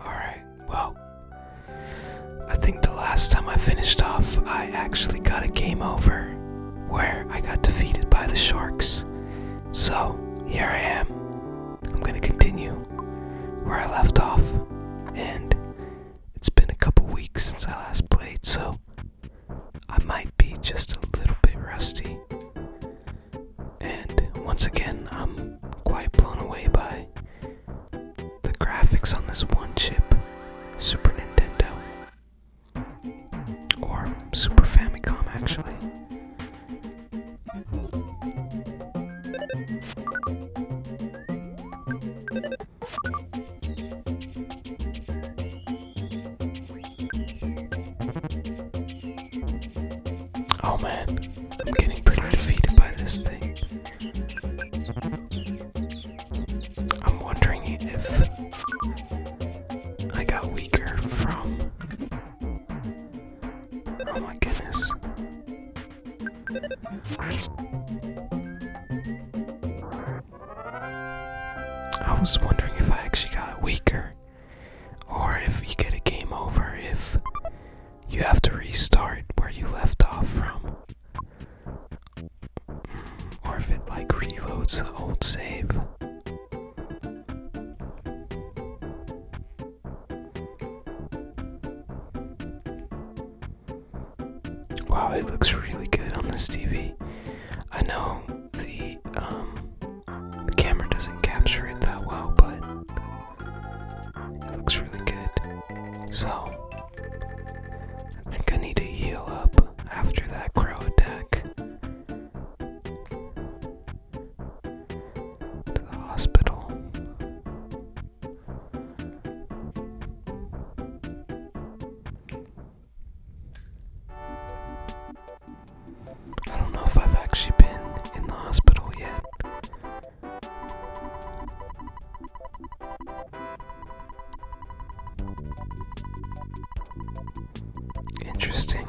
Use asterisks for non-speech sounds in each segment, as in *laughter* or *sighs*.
Alright, well, I think the last time I finished off, I actually got a game over where I got defeated by the sharks. So, here I am. I'm gonna continue where I left off, and it's been a couple weeks since I last played, so I might be just a little bit rusty. And once again, I'm quite blown away by the graphics on this one chip Super Nintendo or Super Famicom, actually. Oh man, I'm getting pretty defeated by this thing. I'm wondering if I got weaker from. Oh my goodness. I was wondering if I actually got weaker, or if you get a game over if you have to restart where you left off from. Or if it like reloads the old save. Wow, it looks really good on this TV. I know um, the camera doesn't capture it that well, but it looks really good. So, I think I need to heal up after that crow attack. To the hospital. I don't know if I've actually been in the hospital yet. Interesting.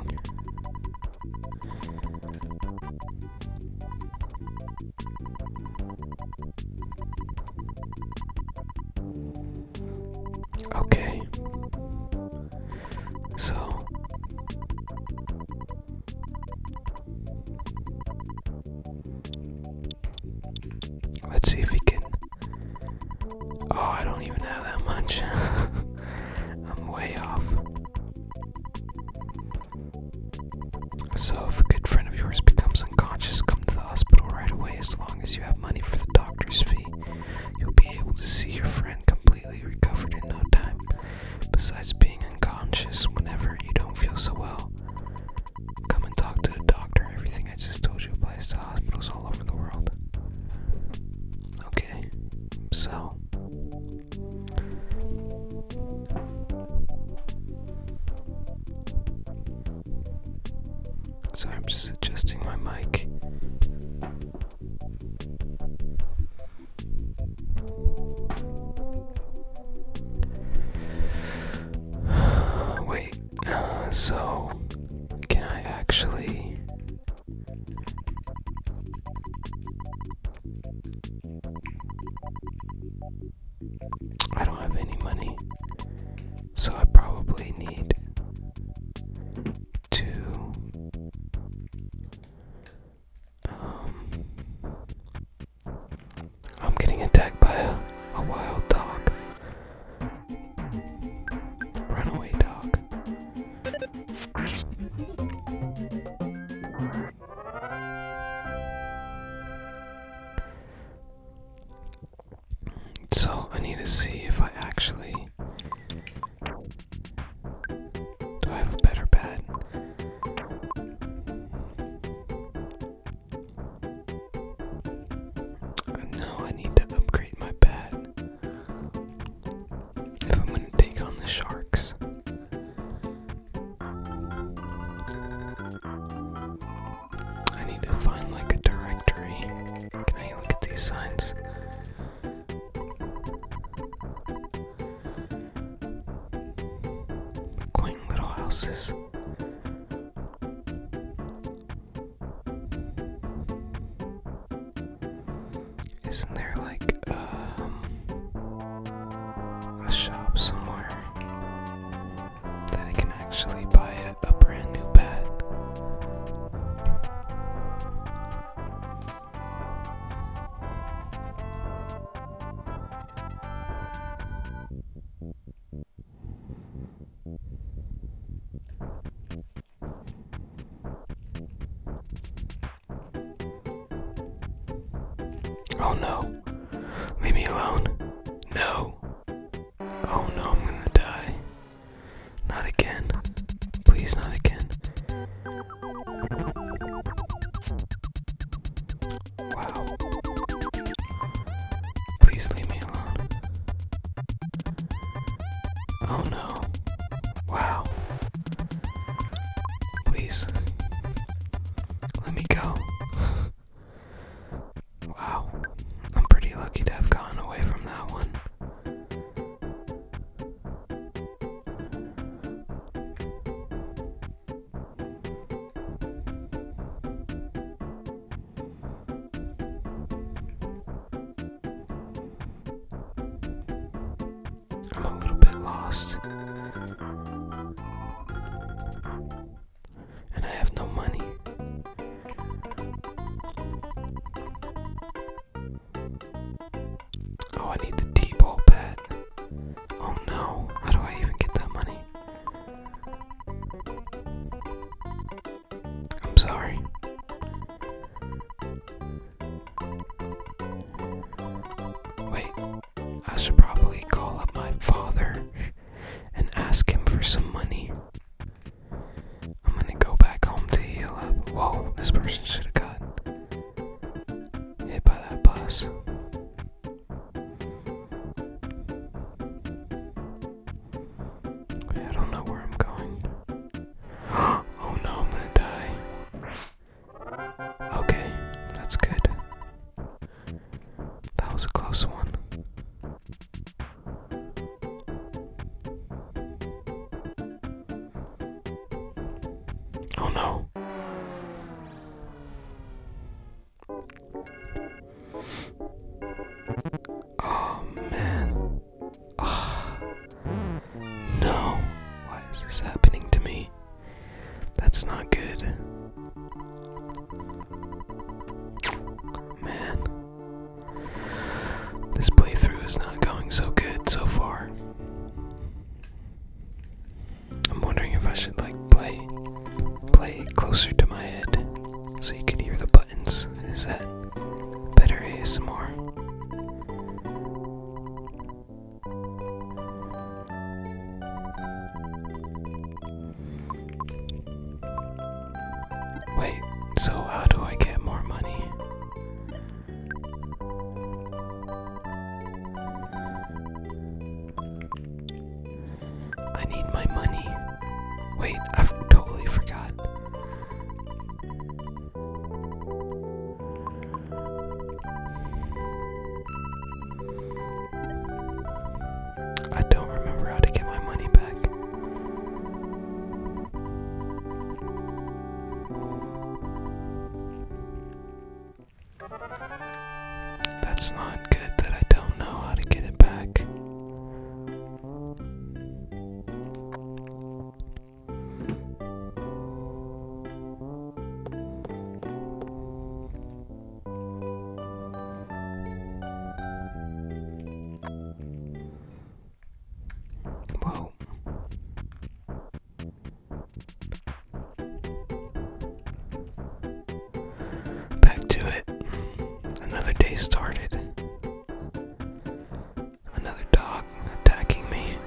Okay. So Let's see if we can. Oh, I don't even have that much. *laughs* I'm way off. So, if a good friend of yours becomes unconscious, come to the hospital right away. As long as you have money for the doctor's fee, you'll be able to see your friend completely recovered in no time. Besides being unconscious whenever you don't feel so well, come and talk to the doctor. Everything I just told you applies to hospitals all over the world. Okay, so. So I'm just adjusting my mic. *sighs* Wait, so can I actually? I don't have any money, so I probably need to um, I'm getting attacked by a, a wild dog. Runaway dog. So I need to see if I actually do I have a better bed? No, I need to upgrade my bed. If I'm gonna take on the sharks. I need to find like a directory. Can I look at these signs? quaint little houses. Isn't there like um, a shop somewhere that I can actually buy a, brand new bat? Oh no. Leave me alone. No. Oh no, I'm gonna die. Not again. Please, not again. Wow. Please leave me alone. Oh no. Wow. Please. Let me go. wow. I'm pretty lucky to have gotten away from that one. I'm a little bit lost. And I have no money. Oh, I need the T-ball bat. Oh no, how do I even get that money? I'm sorry. Wait, I should probably call up my father and ask him for some money. I'm gonna go back home to heal up. Whoa, this person should have gotten hit by that bus. I don't know where I'm going. *gasps* oh no, I'm gonna die. Okay, that's good. That was a close one. Oh no. Oh man. Oh, no. Why is this happening to me? That's not good. Man. This playthrough is not going so good so far. I'm wondering if I should like play play closer to my head so you could hear the buttons. Is that better ASMR? Wait, so how do I get more money? I need my money. Wait, I have totally forgot. I don't remember how to get my money back. That's not good that I don't know how to get it back. Whoa. Back to it. Another day started. Another dog attacking me.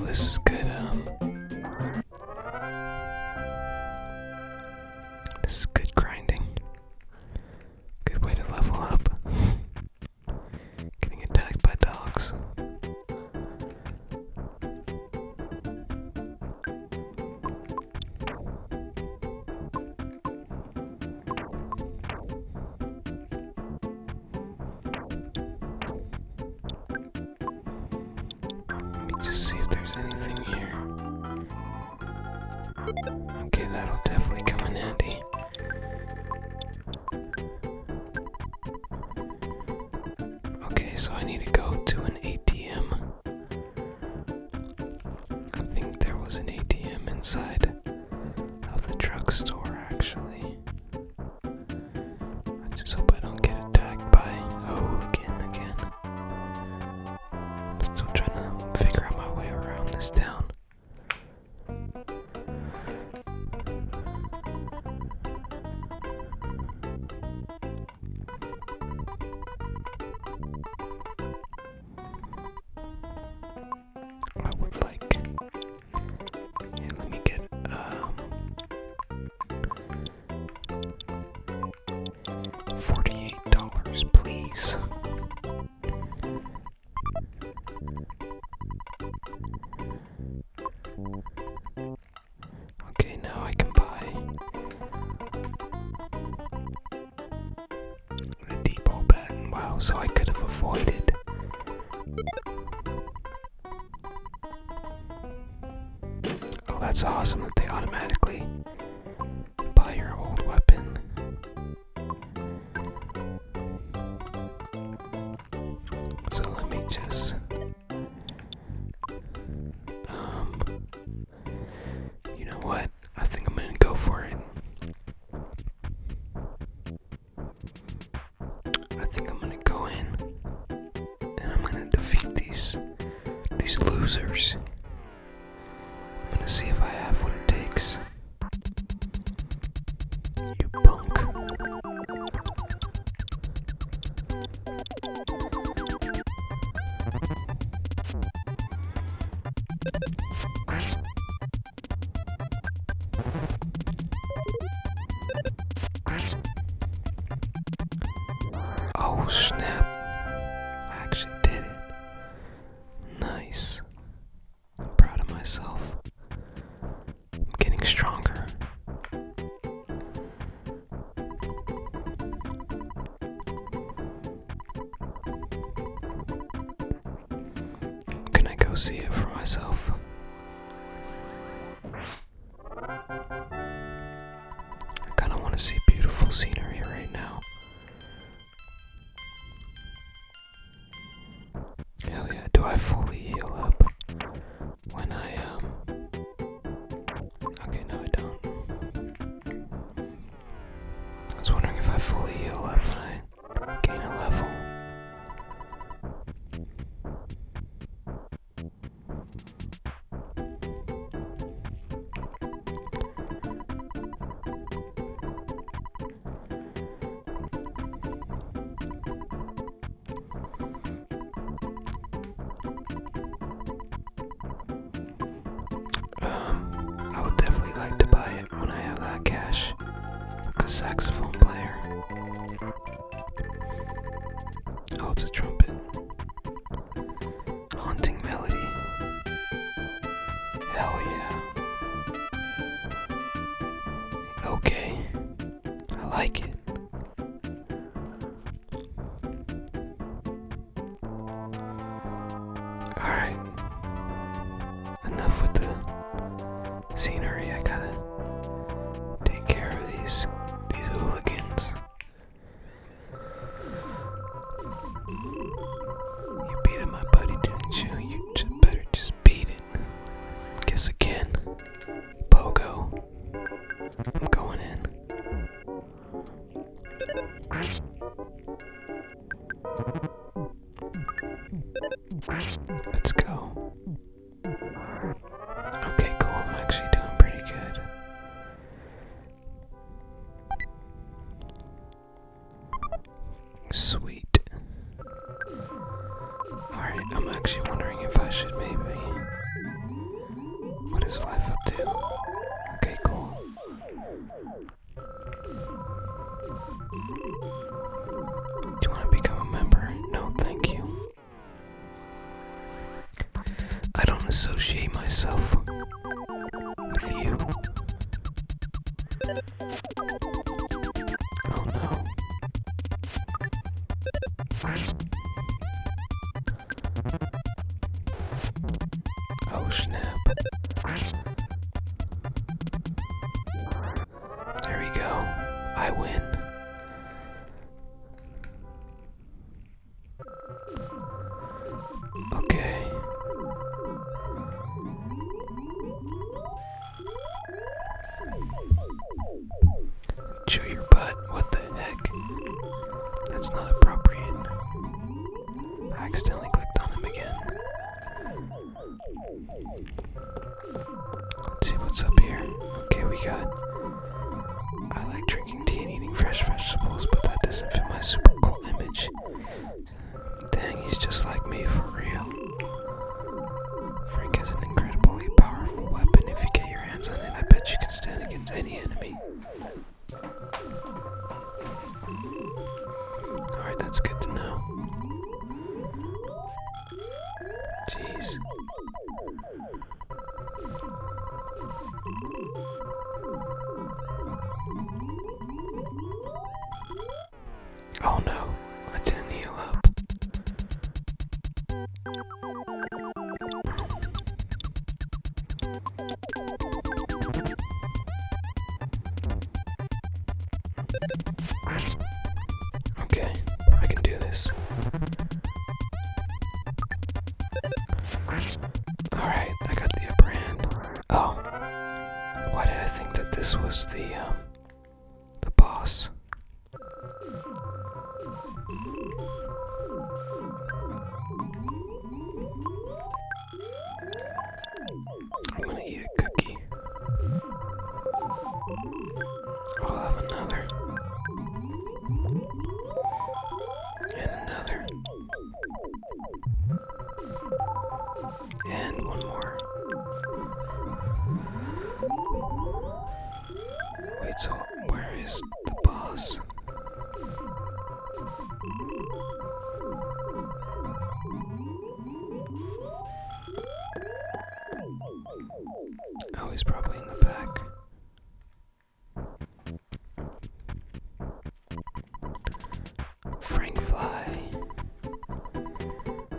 this is good. Um, this is good grinding. Good way to level up. Getting attacked by dogs. Let me just see if there's anything here. Okay, that'll definitely come in handy. Okay, so I need to go to an ATM. I think there was an ATM inside of the drugstore, actually. I just hope I don't get attacked by a hooligan again. I'm still trying to figure out my way around this town. I would like, let me get, um, 48 dollars please Okay, now I can buy the depot baton. Wow, so I could have avoided. Oh, that's awesome that they automatically buy your old weapon. So let me just um you know what? I think I'm gonna go for it. I think I'm gonna go in and I'm gonna defeat these these losers. I'm gonna see if I have what it takes. You punk. Oh snap! I actually did it. Nice. I'm proud of myself. I'm getting stronger. Can I go see it for myself? I kind of want to see beautiful scenery right now. Hell yeah, do I fully heal up when I, um. Okay, no, I don't. I was wondering if I fully heal up when I gain a level. Um, I would definitely like to buy it when I have that cash. a saxophone player. Oh, it's a trumpet. Haunting melody. Hell yeah. Okay, I like it. Alright, enough with the scenery. I gotta take care of these these hooligans. You're beating my buddy, didn't you? You better just beat it. Guess again. Pogo. I'm going in. Let's go. Okay, cool. I'm actually doing pretty good. Sweet. Alright, I'm actually wondering if I should maybe. What is life up to? Okay, cool. Do you want to become a member? No, thank you. I don't associate myself with you. Oh no. Oh snap. There we go. I win. Okay. Chew your butt, what the heck? That's not appropriate. accidentally clicked on him again. Let's see what's up here. Okay, we got. I like drinking tea and eating fresh vegetables, but that doesn't fit my super cool image. Dang, he's just like me for real. Frank has an incredibly powerful weapon. If you get your hands on it, I bet you can stand against any enemy. Alright, that's good to know. Jeez. Oh no, I didn't heal up. Okay, I can do this. Alright, I got the upper hand. Oh, why did I think that this was the um, the boss? I'm gonna eat a cookie. I'll have another. And another. And one more. Wait, so where is the boss? Oh, he's probably in the back. Frank Fly. Oh,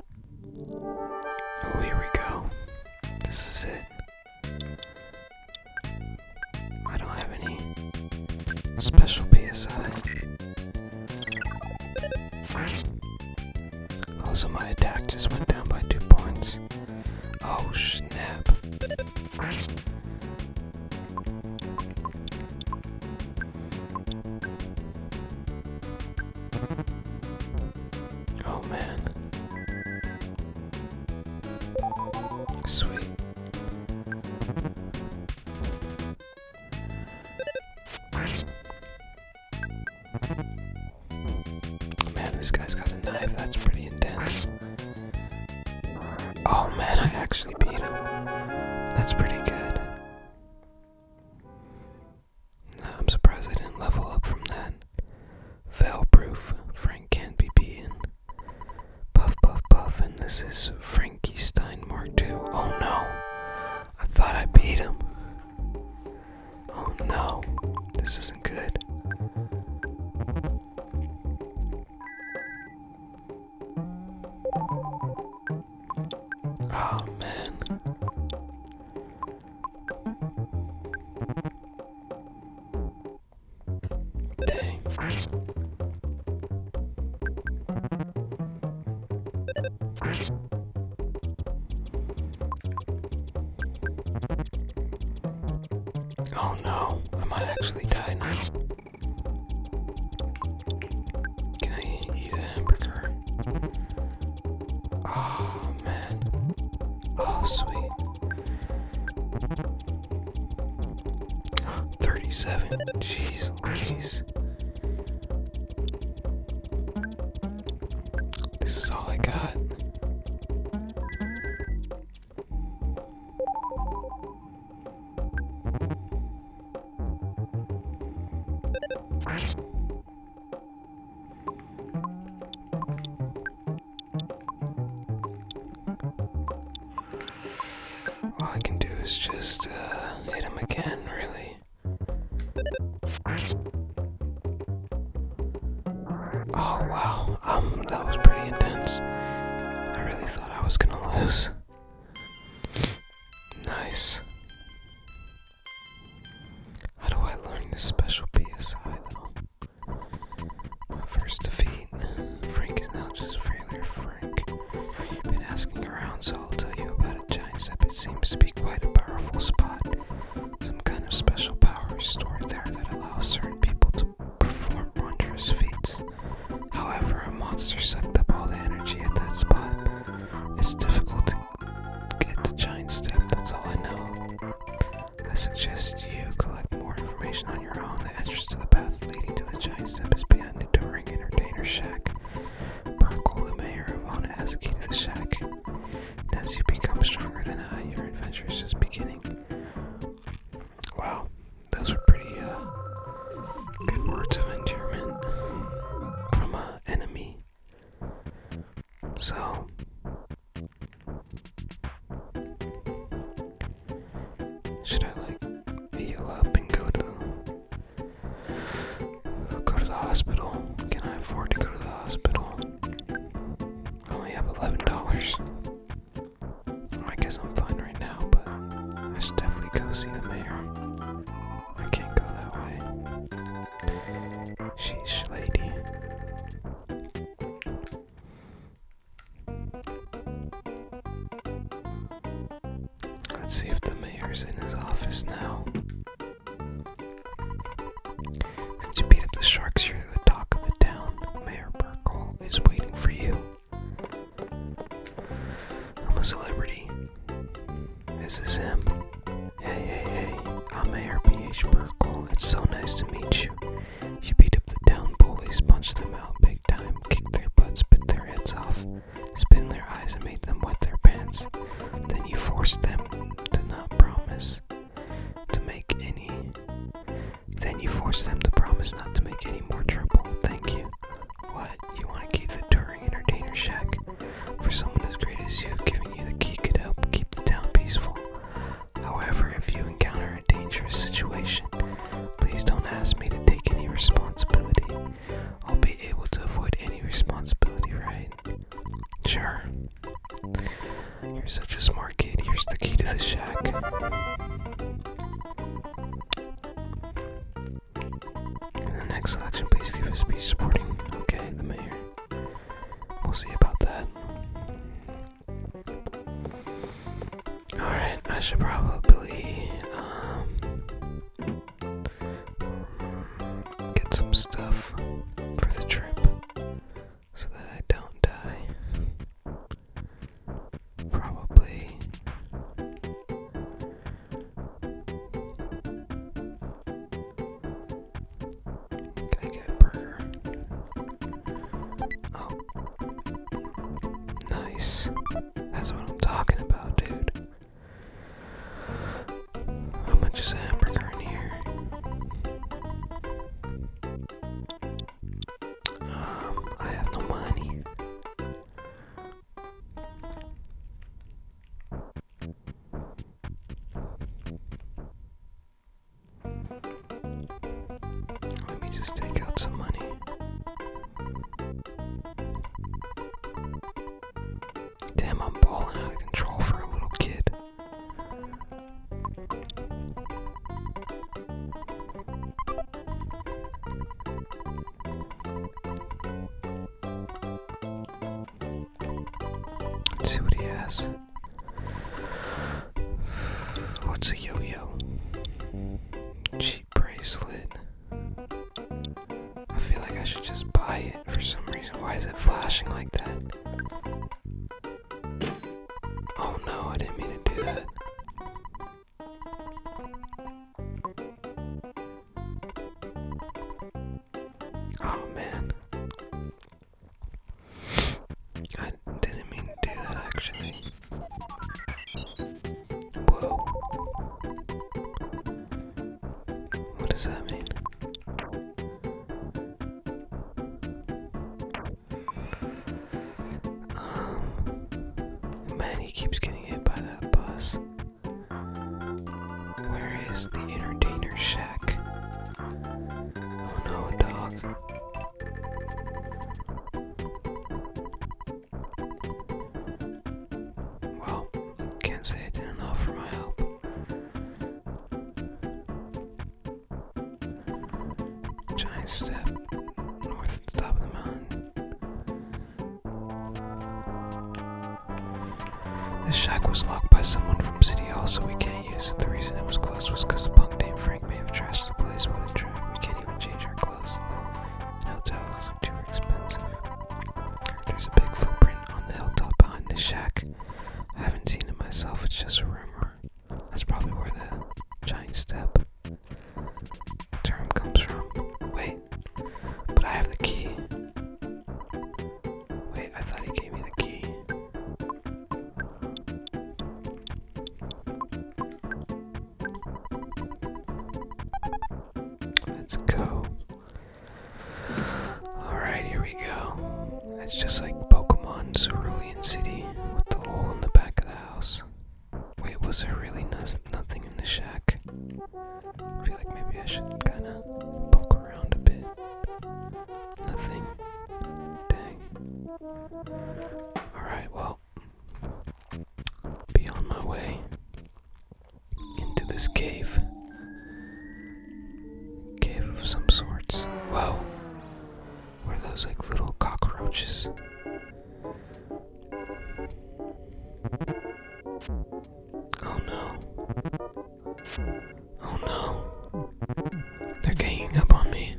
here we go. This is it. I don't have any special PSI. Also, oh, my attack just went down by two points. Oh, snap. Oh man. Sweet. Man, this guy's got a knife. That's pretty intense. Oh man, I actually beat him. That's pretty good. I'm surprised I didn't level up from that. Fail proof. Frank can't be beaten. Puff, puff, puff. And this is Frankie Stein Mark II. Oh no. I thought I beat him. Oh no. This isn't good. Oh man. Dang. Oh no, I might actually die now. Can I eat a hamburger? Oh man. Oh sweet. 37. Jeez Louise. This is all I got. All I can do is just uh, hit him again, really. Oh wow, um, that was pretty intense. I really thought I was gonna lose. Nice. How do I learn this special PSI though? My first defeat. Frank is now just failure Frank. i have been asking around, so I'll tell you about a Giant step. It seems to be quite a powerful spot. Some kind of special power is stored there that allows certain people to perform wondrous feats. However, a monster sucked up all the energy at that spot. It's difficult to get the giant step, that's all I know. I suggest you collect more information on your own. The entrance to the path leading to the giant step is behind the touring entertainer shack. Parkour, the mayor of Ona, has a key to the shack. as you become stronger than I, your adventure is just beginning. Wow, those were pretty uh, good words of endearment from an enemy. So, should I like heal up and go to go to the hospital? Can I afford to go to the hospital? I only have eleven dollars. I guess I'm fine right now but I should definitely go see the mayor. I can't go that way. Sheesh, lady. Let's see if the mayor's in his office now. Since you beat up the sharks, you're the talk of the town. Mayor Burkle is waiting for you. I'm a celebrity. This is him. Hey, hey, hey. I'm Mayor P.H. Burkle. It's so nice to meet you. You beat up the down bullies, punch them out big time, kick their butts, bit their heads off, spit their eyes, and make them wet their pants. Then you force them to not promise to make any. Then you force them to promise not to make any more trouble. Thank you. What? You want to keep the touring entertainer shack? For someone as great as you, giving you the key could help keep the town peaceful. However, if you encounter a dangerous situation, please don't ask me to take any responsibility. I'll be able to avoid any responsibility, right? Sure. You're such a smart kid. Here's the key to the shack. In the next election, please give a speech supporting, okay, the mayor. We'll see about that. Alright, I should probably um, get some stuff for the trip so that I don't die. Probably. Can I get a burger? Oh. Nice. That's what I'm talking about, dude. How much is a hamburger in here? Um, I have no money. Let me just take out some money. Damn, I'm balling out of control for a little kid. Let's see what he has. What's a yo-yo? Cheap bracelet. I feel like I should just buy it for some reason. Why is it flashing like that? Oh no, I didn't mean to do that. Oh man. I didn't mean to do that actually. Whoa. What does that mean? Um man he keeps getting hit by that bus. Where is the entertainer shack? Oh no, dog. Well, can't say enough for my help. Giant step north at the top of the mountain. This shack was locked by someone from City Hall, so we can't use it. The reason it was closed was because a punk named Frank may have trashed the place. What a drag. We can't even change our clothes. And hotels are too expensive. There's a big footprint on the hilltop behind the shack. I haven't seen it myself, it's just a rumor. That's probably where the giant step term comes from. Wait, but I have the key. Wait, I thought he gave me the key. Let's go. Alright, here we go. It's just like Pokemon Cerulean City with the hole in the back of the house. Wait, was there really nothing in the shack? I feel like maybe I should kinda poke around a bit. Nothing. Dang. Alright, well, be on my way into this cave. Cave of some sorts. Whoa! Were those like little cockroaches? Oh no. Oh no. They're ganging up on me.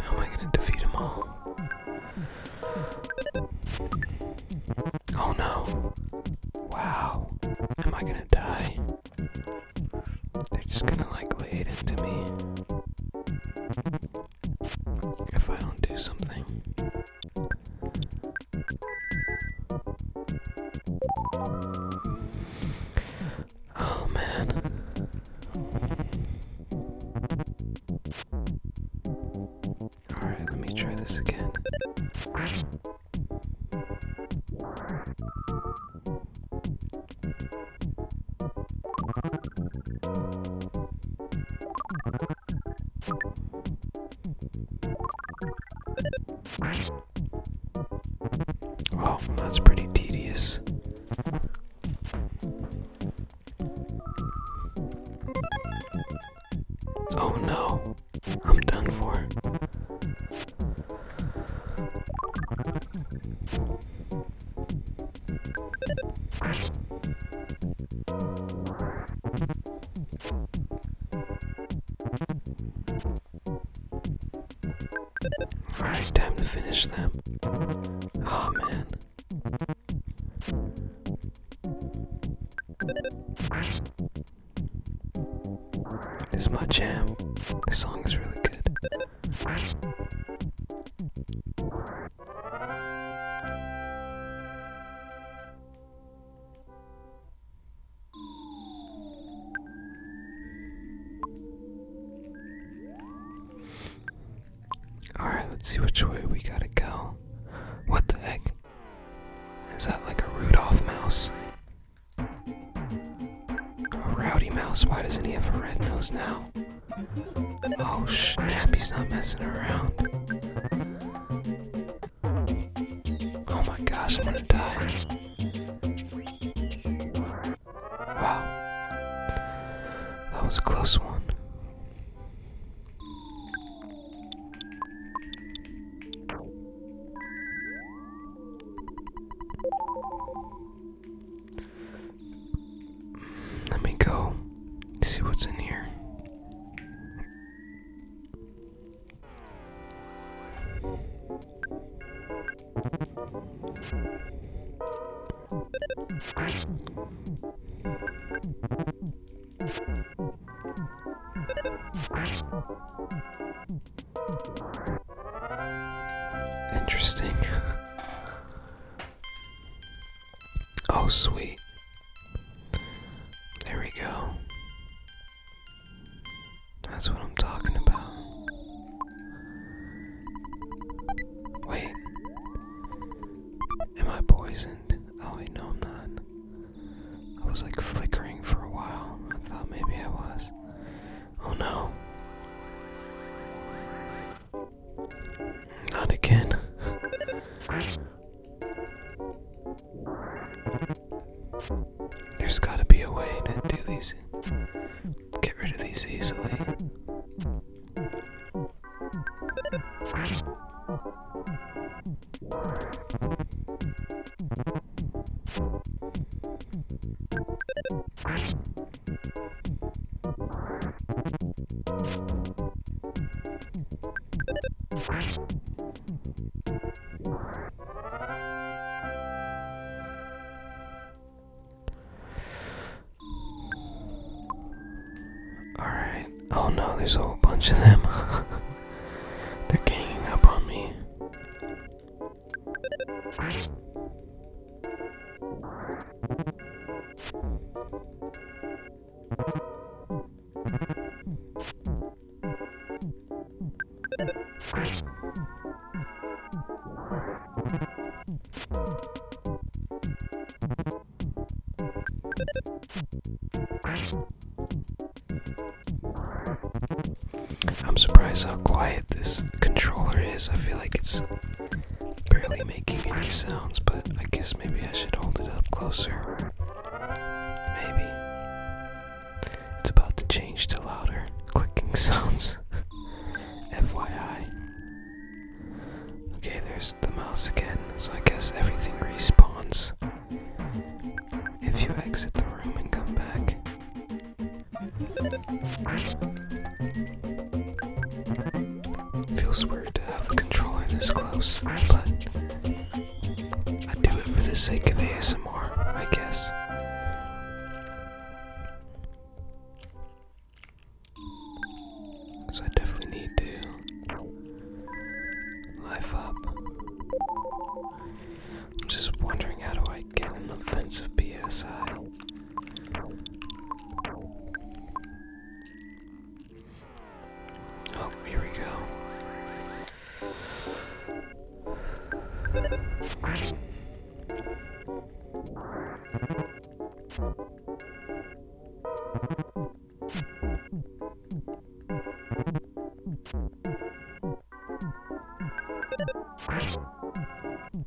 How am I gonna defeat them all? Oh no. Wow. Am I gonna die? They're just gonna like lay into me if I don't do something. Oh man. Alright, let me try this again. Oh, that's pretty tedious. Oh no, I'm done for. Alright, time to finish them. Oh man. This is my jam. This song is really good. Alright, let's see which way we gotta go. What the heck? Is that like a Rudolph mouse? A rowdy mouse? Why doesn't he have a red nose now? Oh shit, he's not messing around. Oh my gosh, I'm gonna die. Wow. That was a close one. Let me go see what's in here. Interesting. Oh, sweet. There we go. That's what I'm talking about. Wait. Am I poisoned? Oh, I know I'm not. I was like flickering for a while. I thought maybe I was. Oh no. Not again. There's gotta be a way to do these. Get rid of these easily. Alright. Oh no, there's a whole bunch of them. *laughs* They're ganging up on me. I'm surprised how quiet this controller is. I feel like it's barely making any sounds, but I guess maybe I should hold it up closer. Maybe. It's about to change to louder clicking *laughs* sounds. FYI. Okay, there's the mouse again, so I guess everything respawns. If you exit the room and come back. Feels weird to have the controller this close, but I do it for the sake of ASMR, I guess. So I definitely need to life up. I'm just wondering how do I get an offensive PSI? Oh, here we go.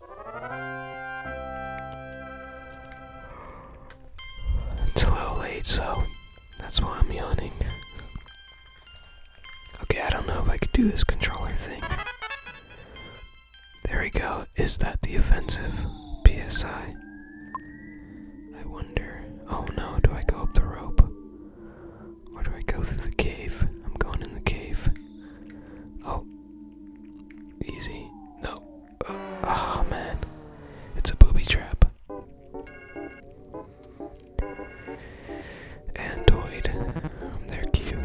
It's a little late, so that's why I'm yawning. Okay, I don't know if I could do this controller thing. There we go. Is that the offensive? PSI. I wonder. Oh no, do I go up the rope? Or do I go through the cave? I'm going in the cave. Oh. Easy. No oh, man. It's a booby trap. Andoid. They're cute.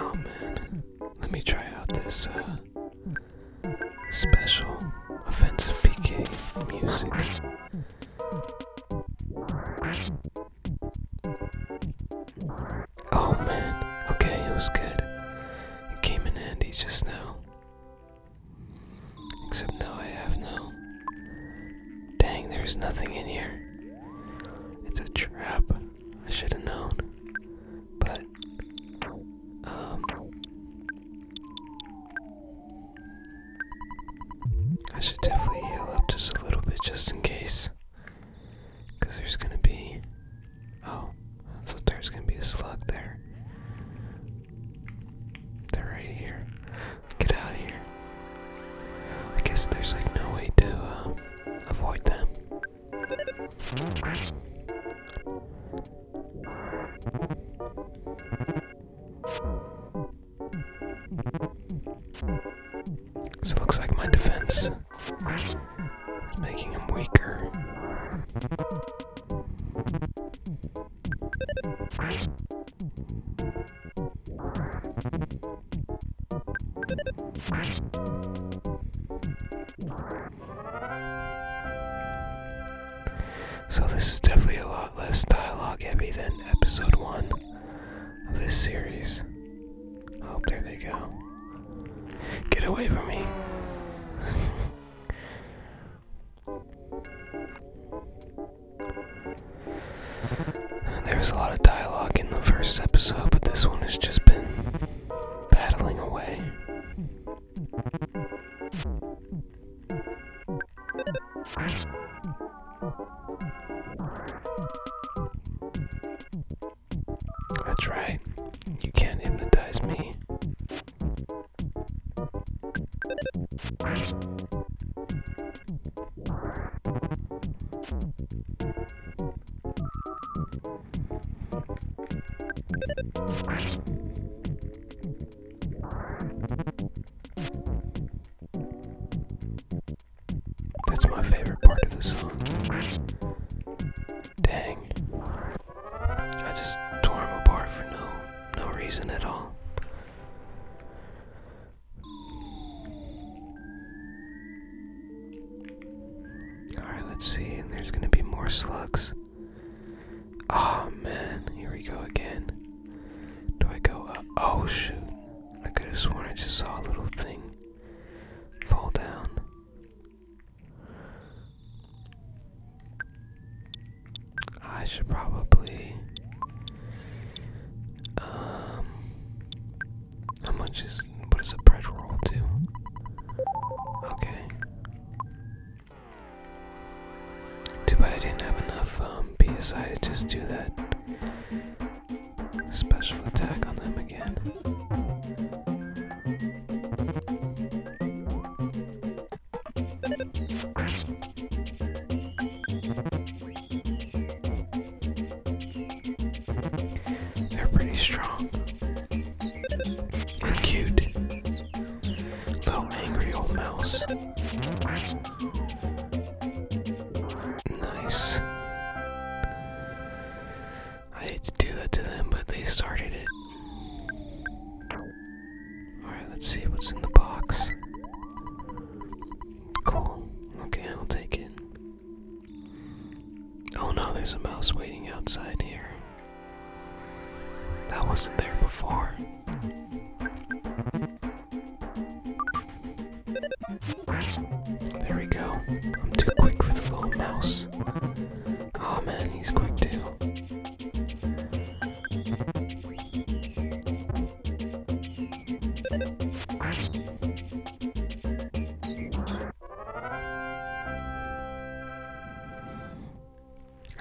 Oh, man. Let me try out this uh, special offensive PK music. Oh man, okay, it was good. It came in handy just now. Except now I have no. Dang, there's nothing in here. It's a trap. I should have known. But, um. I should definitely heal up just a little bit just in case. Because there's going to be. Oh, so there's going to be a slug there. They're right here. Get out of here. I guess there's like no way to uh, avoid them. This looks like my defense is making him weaker. So this is definitely a lot less dialogue heavy than episode 1 of this series. Oh, there they go. Get away from me. There's a lot of dialogue in the first episode, but this one has just been battling away. That's right. You can't hypnotize me. That's my favorite part of the song. Dang. I just tore him apart for no no reason at all. Alright, let's see, and there's gonna be more slugs. Oh man, here we go again. Do I go Oh shoot. I could have sworn I just saw a little thing fall down. I should probably. Um. How much is. What does a bread roll too? Okay. Too bad I didn't have enough um, PSI to just do that special attack on them again. They're pretty strong and cute. Little angry old mouse. Nice. I hate to do that to them, but they started it. Alright, let's see what's in the box. Cool. Okay, I'll take it. Oh no, there's a mouse waiting outside here. That wasn't there before. There we go. I'm too quick for the little mouse. Aw oh, man, he's quick too.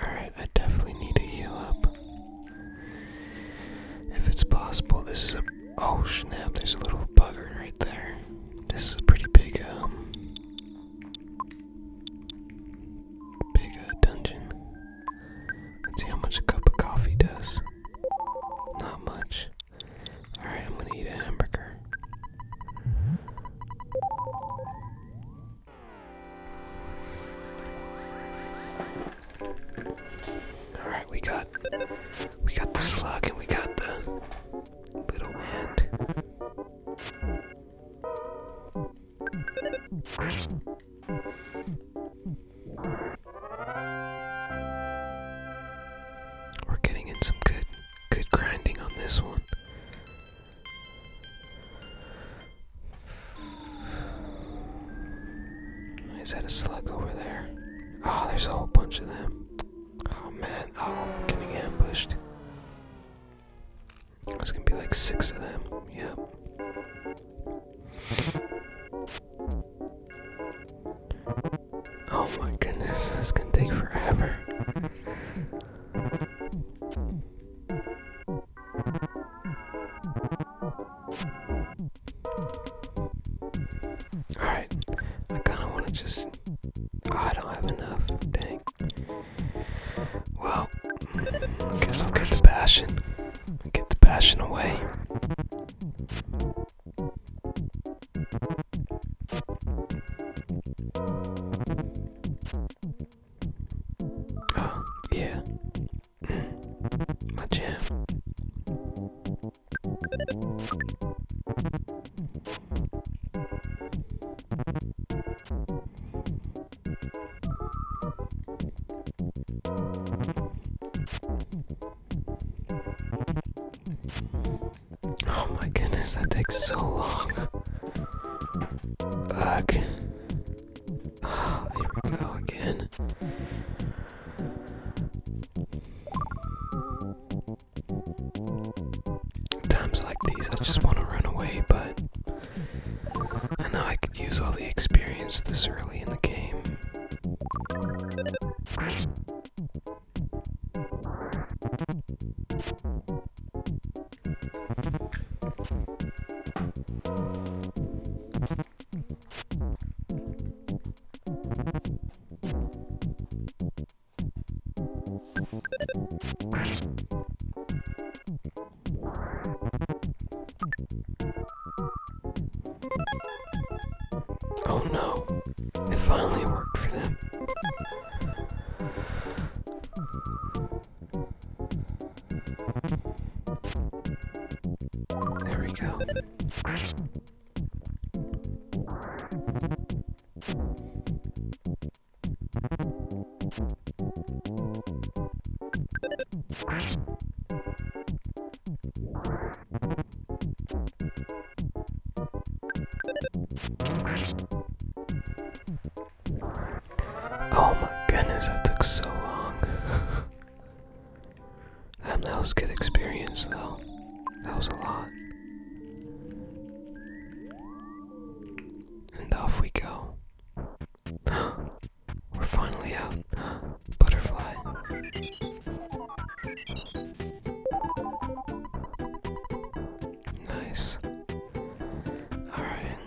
Alright, I definitely need to heal up. If it's possible, this is a Oh snap, there's a little bugger right there. This is a pretty big, um. Big uh, dungeon. see how much a cup of coffee does. Not much. Alright, I'm gonna eat a hamburger. Alright, we got we got the slug and we got the little wind. We're getting in some good good grinding on this one. Is that a slug over there? Oh, there's a whole bunch of them. Oh man, oh, I'm getting ambushed. There's gonna be like six of them, yep. Oh my goodness, this is gonna take forever. Alright, I kinda wanna just. I don't have enough. Dang. Well, I guess I'll get the passion. Get the passion away. Oh, yeah. Mm, my jam. Oh my goodness, that takes so long. Ugh. *sighs* here we go again. Times like these, I just want to run away, but I know I could use all the experience this early in the game. Oh no, it finally worked for them. There we go. Oh my goodness, that took so long. *laughs* Um, that was a good experience, though. That was a lot. And off we go. *gasps* We're finally out. *gasps* Butterfly. Nice. Alright,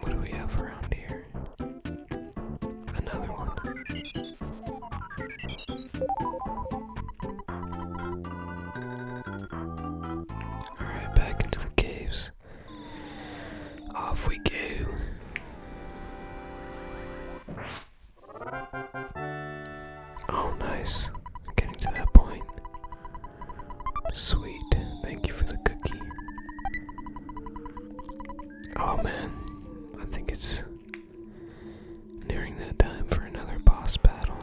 what do we have around here? Another one. Alright, back into the caves. Off we go. Oh, nice. Getting to that point. Sweet. Thank you for the cookie. Oh man, I think it's during that time for another boss battle.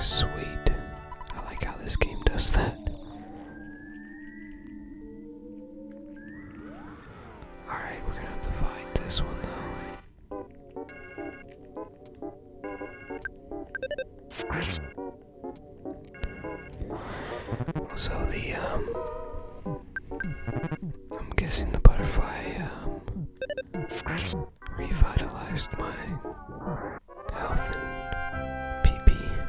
Sweet. I like how this game does that. Alright, we're gonna have to fight this one So the um I'm guessing the butterfly um, revitalized my health and PP.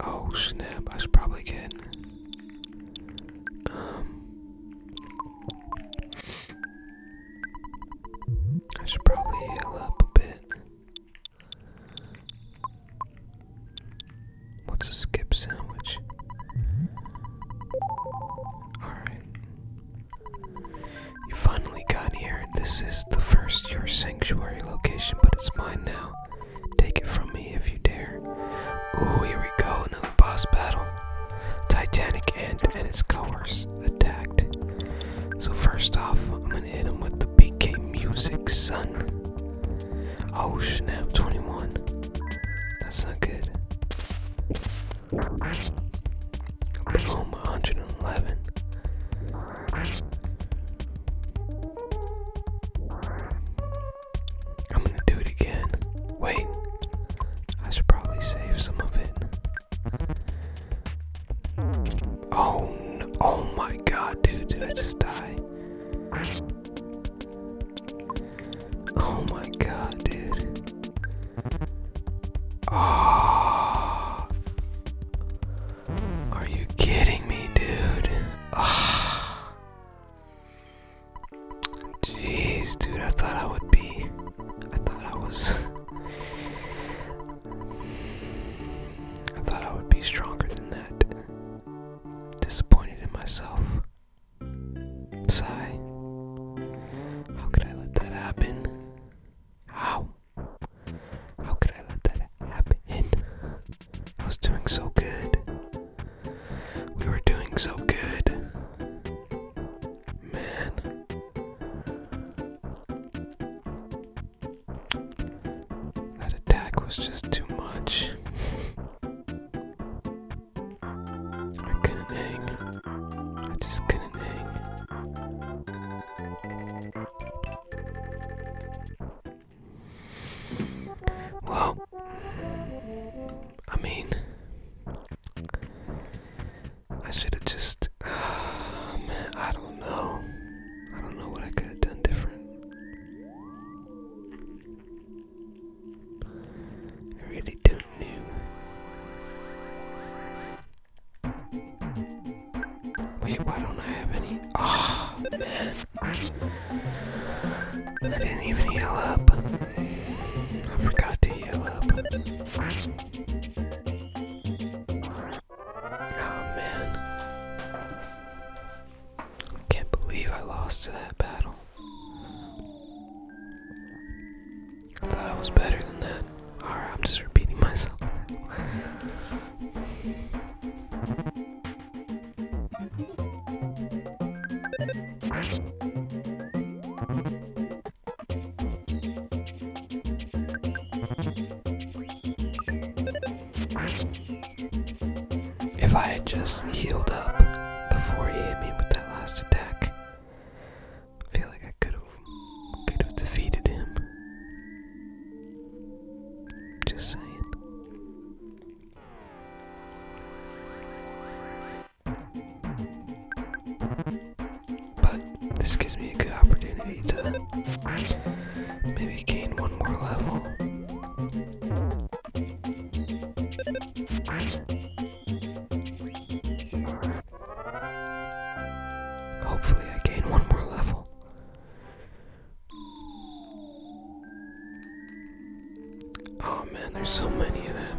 Oh snap, I should probably get um, I should probably heal up a bit. What's a skip sandwich? Alright. You finally got here. This is the first your sanctuary location, but it's mine now. Take it from me if you dare. Ooh, here we go boss battle. Titanic Ant and its coerce attacked. So first off, I'm gonna hit him with the PK music, son. Oh snap, 21. That's not good. Boom, 111. I'm gonna do it again. Wait. I should probably save some of it. Oh oh my god, dude, did I just die? Oh my god, dude. Oh, are you kidding me, dude? Ah. Jeez, dude, I thought I would be. I thought I was. I thought I would be stronger than that. Disappointed in myself. Sigh. How could I let that happen? How? How could I let that happen? I was doing so good. We were doing so good. Man. That attack was just too much. I couldn't hang. I just couldn't hang. Well, I mean, I should have just. *sighs* Oh, I don't know. I don't know what I could have done different. I really don't know. Wait, why don't I have any? Ah, oh, man. I didn't even heal up. I forgot to Oh man. Can't believe I lost that battle. I thought I was better than that. Alright, I'm just repeating myself. If I had just healed up before he hit me with that last attack, I feel like I could have could have defeated him. Just saying. But this gives me a good opportunity to maybe gain one more level. Hopefully, I gain one more level. Oh man, there's so many of them.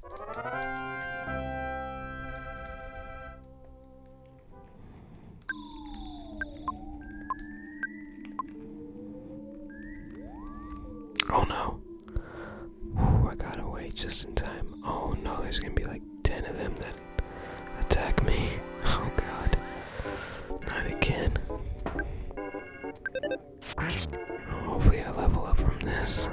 Oh no. I got away just in time. Oh no, there's gonna be like 10 of them that attack me. *laughs* Oh god. Not again. Hopefully, I level up from this.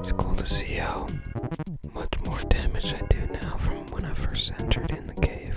It's cool to see how much more damage I do now from when I first entered in the cave.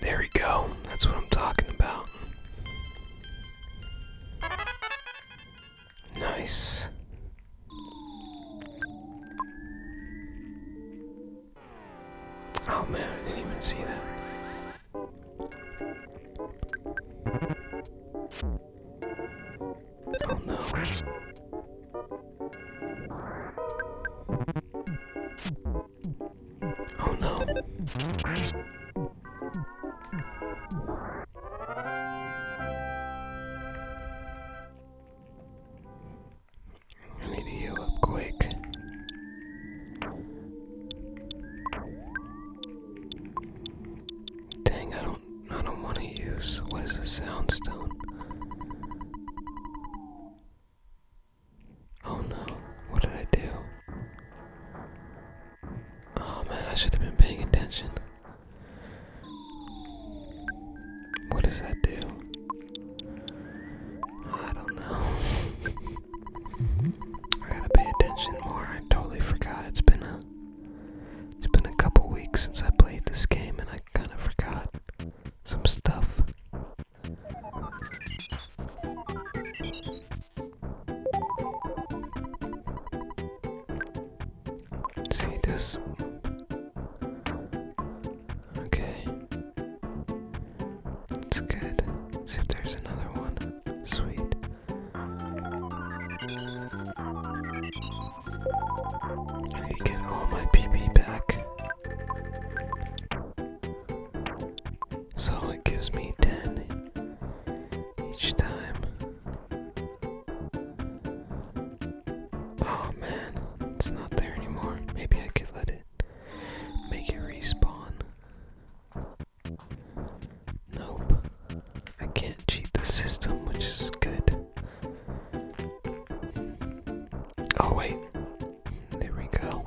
There we go. That's what I'm talking about. Nice. Oh man, I didn't even see that. Oh no. Oh no. I need to heal up quick. Dang, I don't I don't want to use what is a soundstone. Oh no, what did I do? Oh man, I should have been paying attention. What does that do? I don't know. *laughs* I gotta pay attention more. I totally forgot. It's been a it's been a couple weeks since I played this game and I kind of forgot some stuff. See this? Okay. It's good. See if there's another one. Sweet. I need to get all my PP back. So it gives me 10 each time. Oh man, it's not there anymore. Maybe I could let it make it respawn. Nope. I can't cheat the system, which is good. Oh, wait. There we go.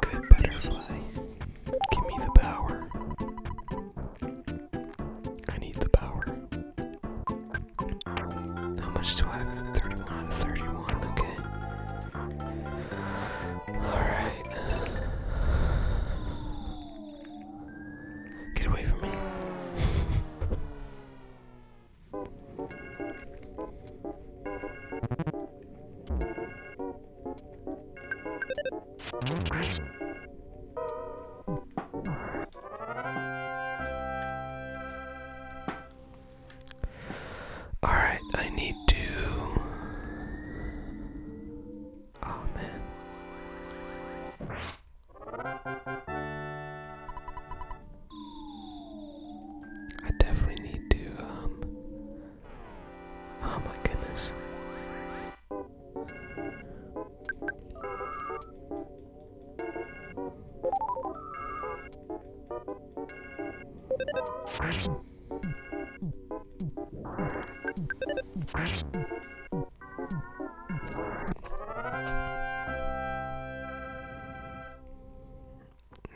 Good butterfly. Give me the power. I need the power. How much do I have? 31 out of 31, okay. Alright. Get away from me. All right, I need to Amen. I definitely need to, um, oh my goodness.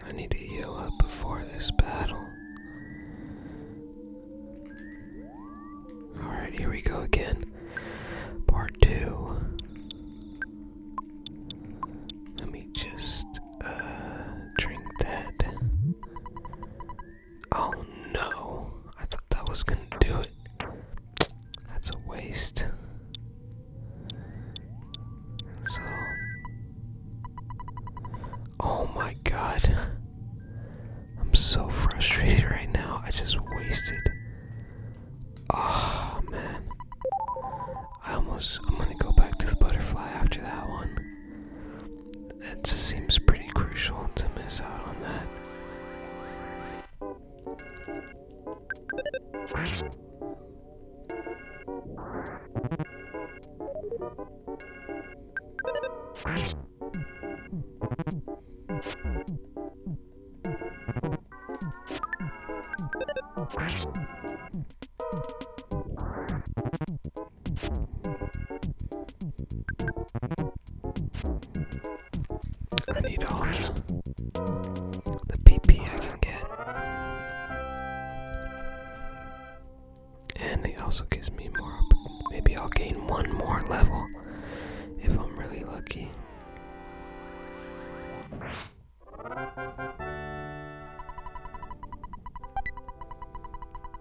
I need to heal up before this battle. Alright, here we go again. Part two. Let me just uh, drink that. Oh no, I thought that was gonna do it. That's a waste. So. Oh my god. I'm so frustrated right now. I just wasted. Oh man. I almost. I'm gonna go back to the butterfly after that one. That just seems pretty crucial to miss out on that. I need all the PP I can get. And it also gives me more. Maybe I'll gain one more level if I'm really lucky.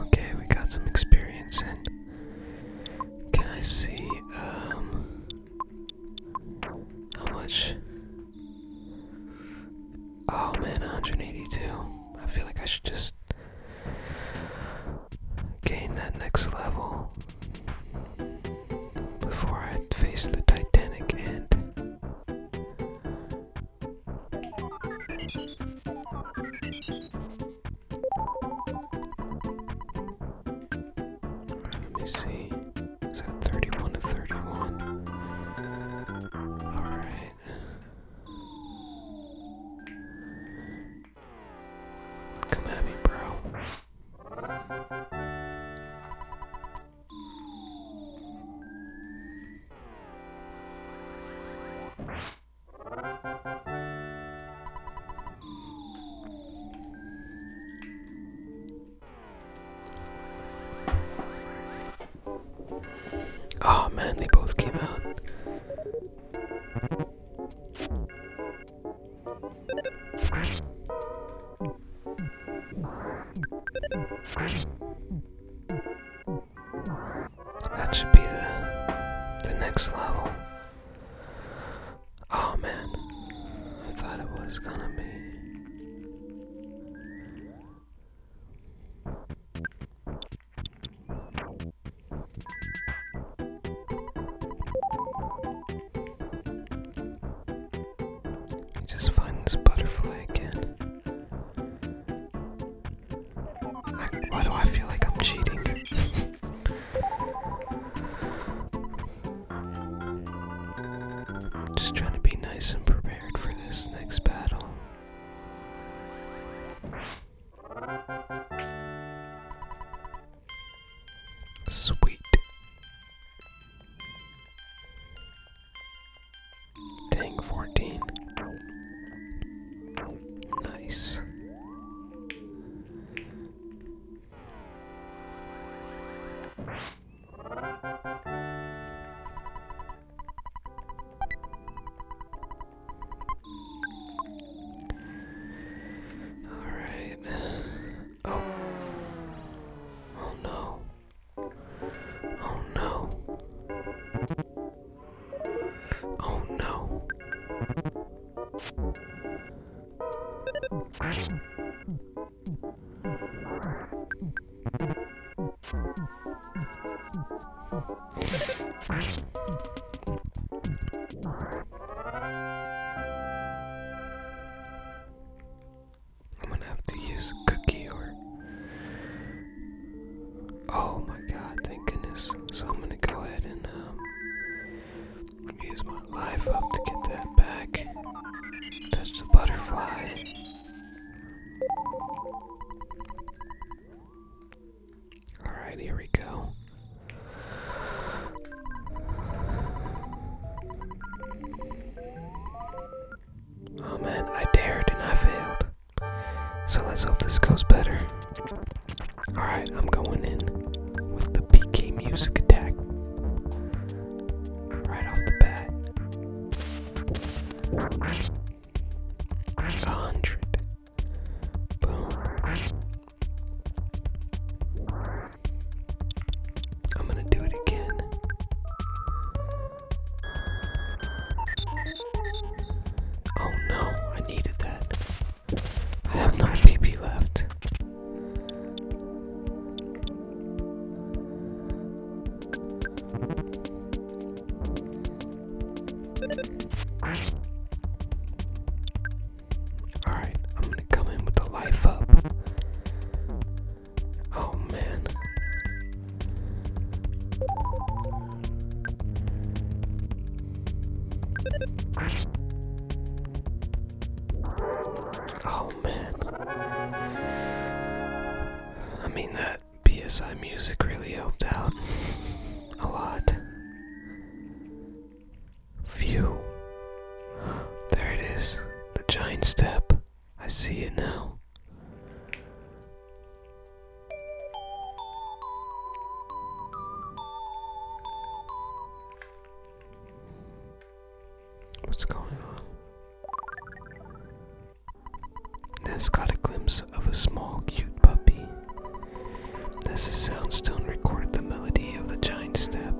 Okay, we got some experience in. Can I see um how much? Oh man, 182. I feel like I should just gain that next level before I face the Titanic end. let me see. Is that 31 to 31? Alright. Come at me, bro. Oh man, they both came out. That should be the the next level. Oh man, I thought it was gonna be. Just find this butterfly again. why do I feel like I'm cheating? Just trying to be nice and prepared for this next battle. Sweet. Dang, 14. Nice. Alright. Oh. Oh no. Oh no. Oh no. I'm gonna have to use cookie or. Oh my god, thank goodness. So I'm gonna go ahead and um, use my life up to get that back. Touch the butterfly. Alright, here we go. Oh man, I dared and I failed. So let's hope this goes better. Alright, I'm going in with the PK music attack. Right off the bat. A hundred. Boom. I'm gonna do it again. Oh no, I needed that. I have no PP left. Alright, I'm gonna come in with the life up. Oh man. Oh man. I mean, that PSI music really helped out a lot. Phew. There it is. The giant step. I see it now. What's going on? Ness got a glimpse of a small, cute puppy. This his soundstone recorded the melody of the giant step.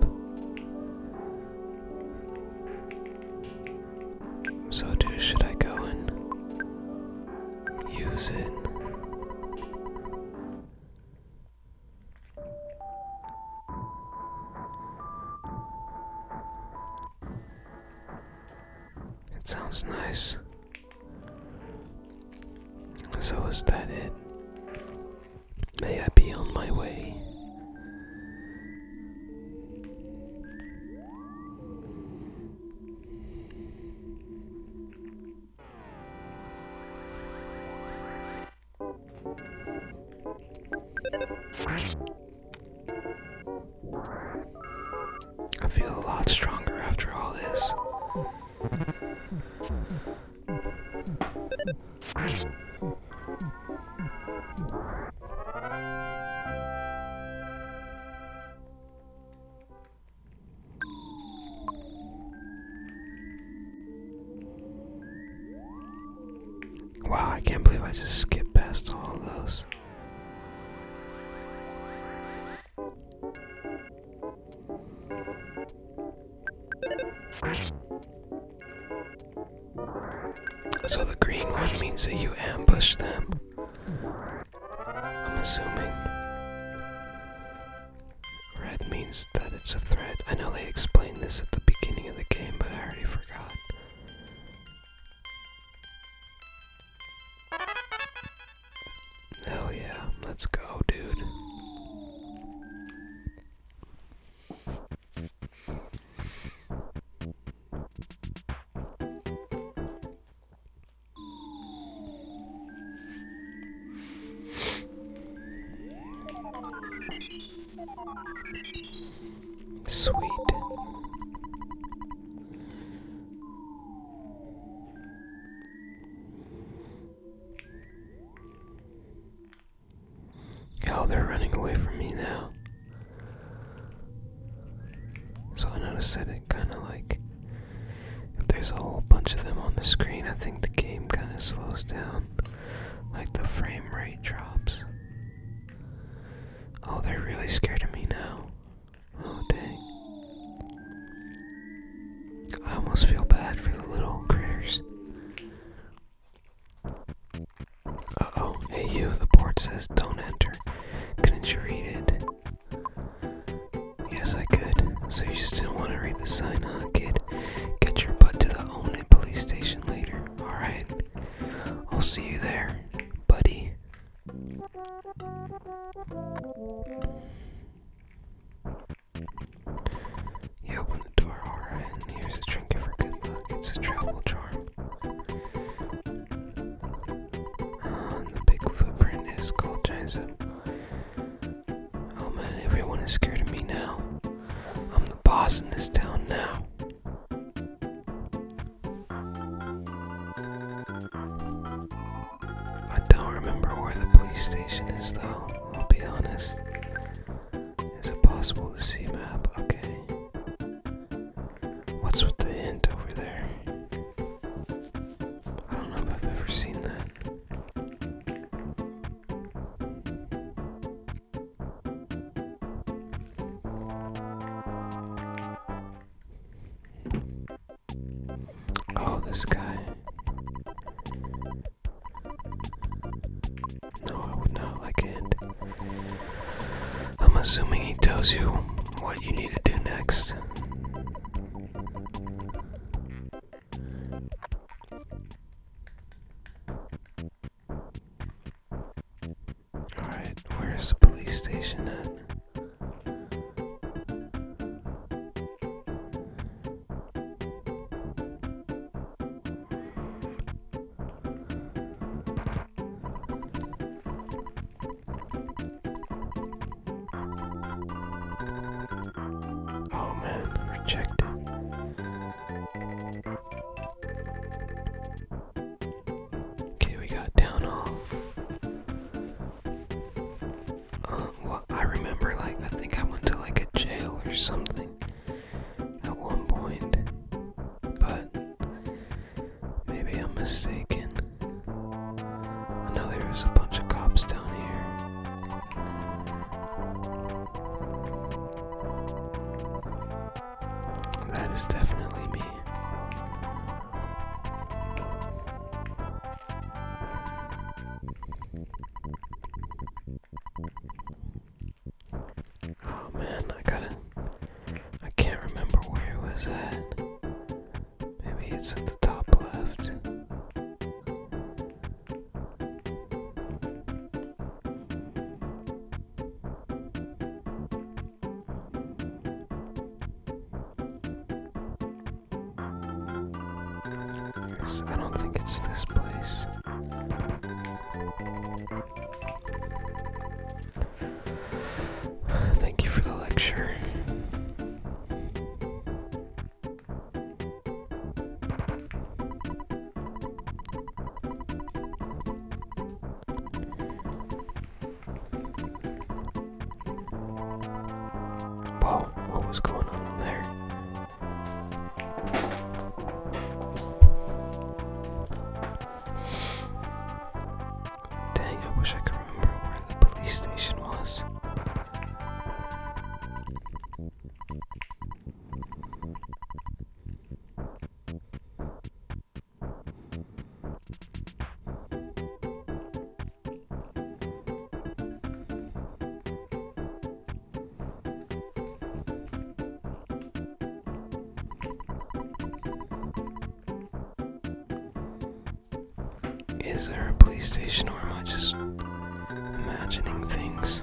So, do should I go and use it? It sounds nice. So is that it? May I be on my way? I feel a lot stronger after all this. Wow, I can't believe I just skipped past all of those. So the green one means that you ambush them. I'm assuming. Red means that it's a threat. I know they explained this at the beginning of the game, but I already forgot. Hell yeah, let's go, dude. Sweet. Oh, they're running away from me now. So I noticed that it kind of like, if there's a whole bunch of them on the screen, I think the game kind of slows down. Like the frame rate drops. Oh, they're really scared of me now. Oh, dang. I almost feel bad for the little critters. Uh oh, hey you, the board says don't enter. Couldn't you read it? Yes, I could. So you just do not want to read the sign, huh, kid? Get your butt to the only police station later, alright? I'll see you there, buddy. You open the door, alright, and here's a drink for good luck. It's a travel charm. Uh, the big footprint is called Jason. Oh man, everyone is scared of me now. I'm the boss in this town now. I don't remember where the police station is, though, I'll be honest. Is it possible to see map? Okay. What's with the hint over there? I don't know if I've ever seen that. Oh, this guy. No, I would not like it. I'm assuming he tells you what you need to do next. Alright, where's the police station at? Oh man, rejected. Okay, we got down all. Uh, well, I remember, like, I think I went to like a jail or something at one point, but maybe I'm mistaken. I know there was a bunch of cops down here. That is definitely me. Oh man, I gotta. I can't remember where it was at. Maybe it's at the top left. I don't think it's this place. Thank you for the lecture. Whoa, what was going on in there? Dang, I wish I could remember where the police station was. Is there a police station or am I just imagining things?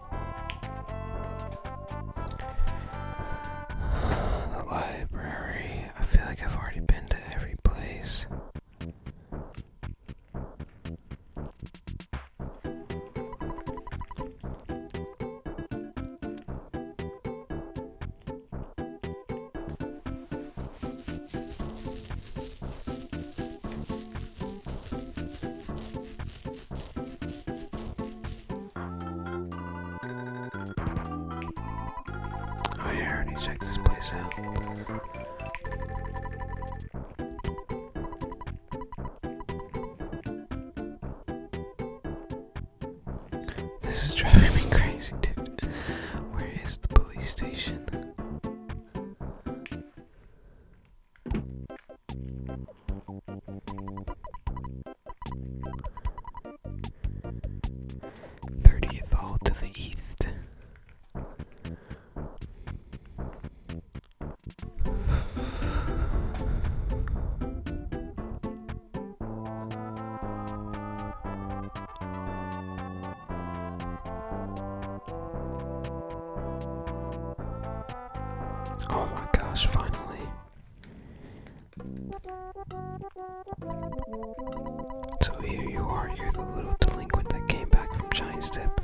The library. I feel like I've already been to every place. Oh yeah, I already checked this place out. This is driving me crazy, dude. Where is the police station? Thirtieth hall to the east. Oh, my gosh, finally. So here you are, you're the little delinquent that came back from Giant's Tip.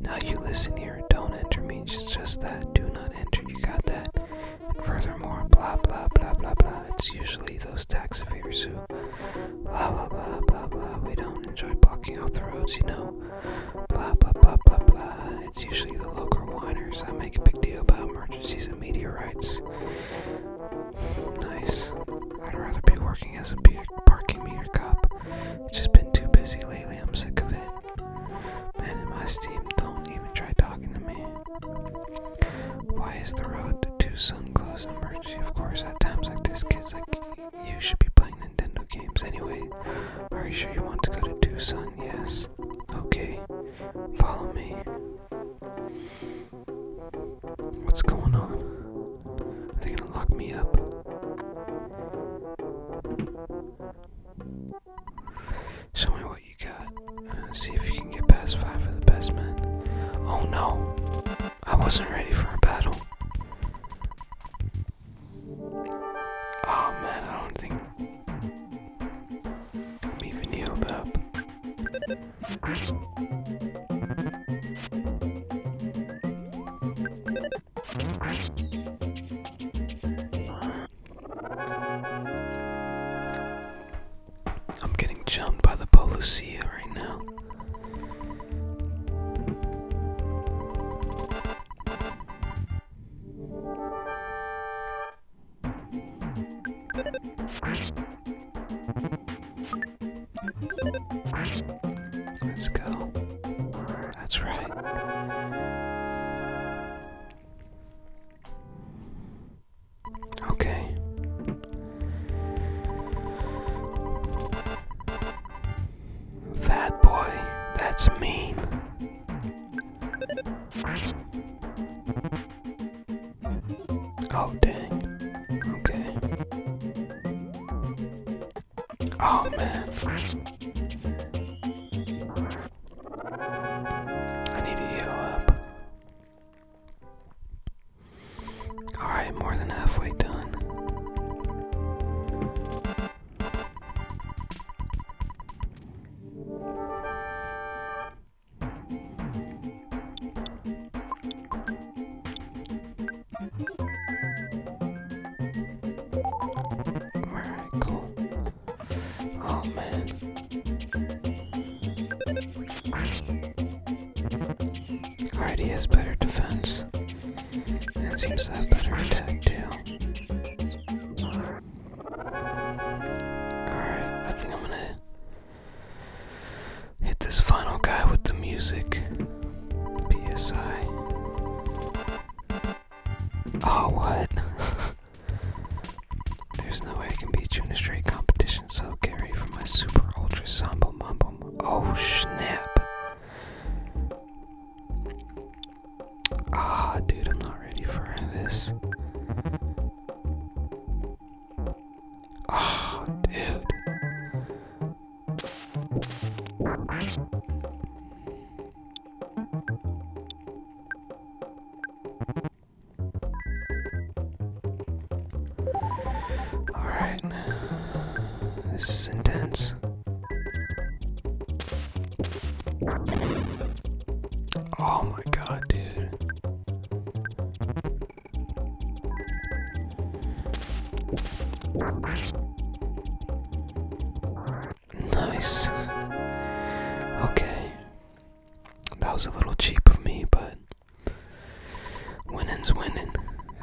Now you listen here, don't enter means just that, do not enter, you got that. And furthermore, blah blah blah blah blah, it's usually those tax evaders who blah blah blah blah blah, we don't enjoy blocking off the roads, you know. Blah blah blah blah blah, it's usually the local whiners I make a big deal about emergencies and meteorites. Nice. I'd rather be working as a parking meter cop. It's just been too busy lately, I'm sick of it. Man in my steam don't even try talking to me. Why is the road to Tucson closed in emergency? Of course, at times like this, kids like you should be playing Nintendo games anyway. Are you sure you want to go to Tucson? Yes. Okay, follow me. What's going on? Are they gonna lock me up? Show me what you got. Uh, see if you can get past five of the best men. Oh no! I wasn't ready for a battle. Oh man, I don't think I'm even healed up. I'm getting jumped by the Polucia right now. Let's go. That's right. Okay. Fat boy, that's mean. Oh, dang. Okay. Oh, man. I need to heal up. Alright, more than halfway done. Alright, cool. Oh man. Alright, he has better defense. And seems to have better attack too. Alright, I think I'm gonna hit this final guy with the music. PSI. Oh, what? *laughs* There's no way I can beat you in a straight competition, so get ready for my super ultra samba mambo. Oh, snap. Ah, dude, I'm not ready for this. Ah, dude. All right. This is intense. Oh my god, dude. Nice. Okay. That was a little cheap of me, but winning's winning.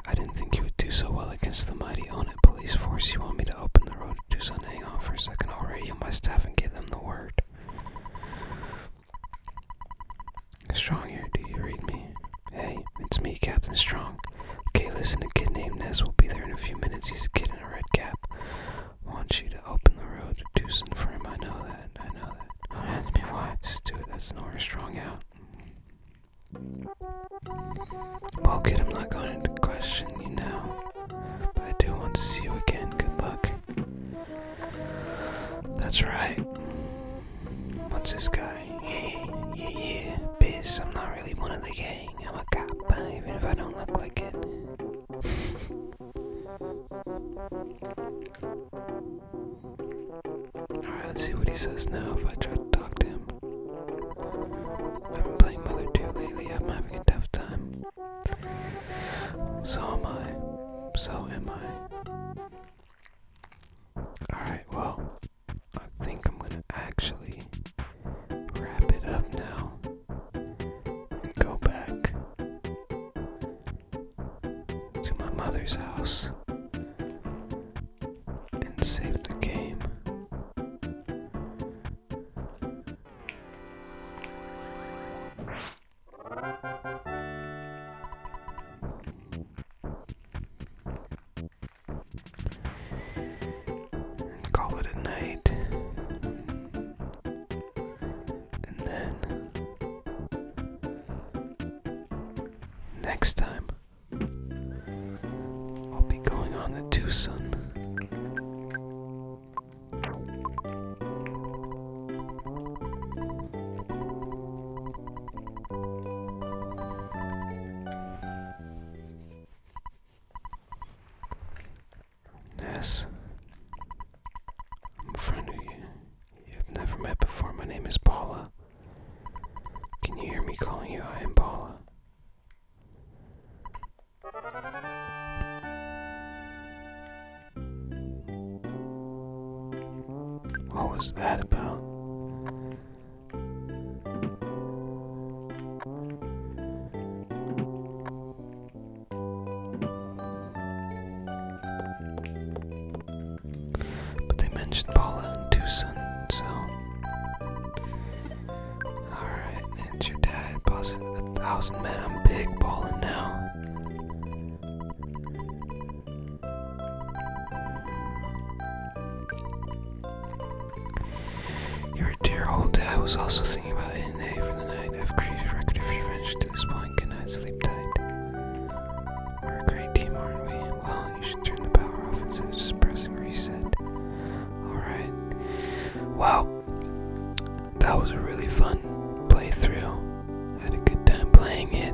I didn't think you would do so well against the mighty on police force. You want me to open the road? road. Tucson, hang on for a second. I'll radio my staff and give them the word. Strong here, do you read me? Hey, it's me, Captain Strong. Okay, listen, a kid named Ness will be there in a few minutes. He's a kid in a red cap. Want you to open the road to Tucson for him. I know that. I know that. Don't ask me why. Stuart, that's nowhere strong out. Well, kid, I'm not going to question you now. But I do want to see you again. Good luck. That's right. What's this guy? Yeah, yeah, yeah. Piss, I'm not really one of the gang. I'm a cop, even if I don't look like it. *laughs* Alright, let's see what he says now if I try to talk to him. I've been playing Mother 2 lately, I'm having a tough time. So am I. So am I. Alright, well, I think I'm gonna actually wrap it up now. And go back to my mother's house and save the game. Call it a night, and then next time I'll be going on to Tucson. Ness, I'm a You've never met before. My name is Paula. Can you hear me calling you? I am Paula. What was that about? But they mentioned Paula and Tucson, so Alright, it's your dad. Bossing a thousand men. I'm big balling now. Your dear old dad was also thinking about ending the for the night. I've created record of revenge to this point. Good sleep tight. We're a great team, aren't we? Well, you should turn the power off instead of just pressing reset. Alright. Well, that was a really fun playthrough. I had a good time playing it.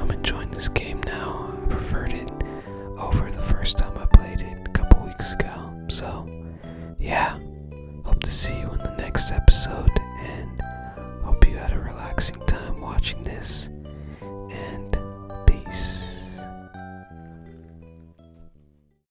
I'm enjoying this game now. I preferred it over the first time I played it a couple weeks ago. So, yeah. Hope to see you in the next episode and hope you had a relaxing time watching this. And peace.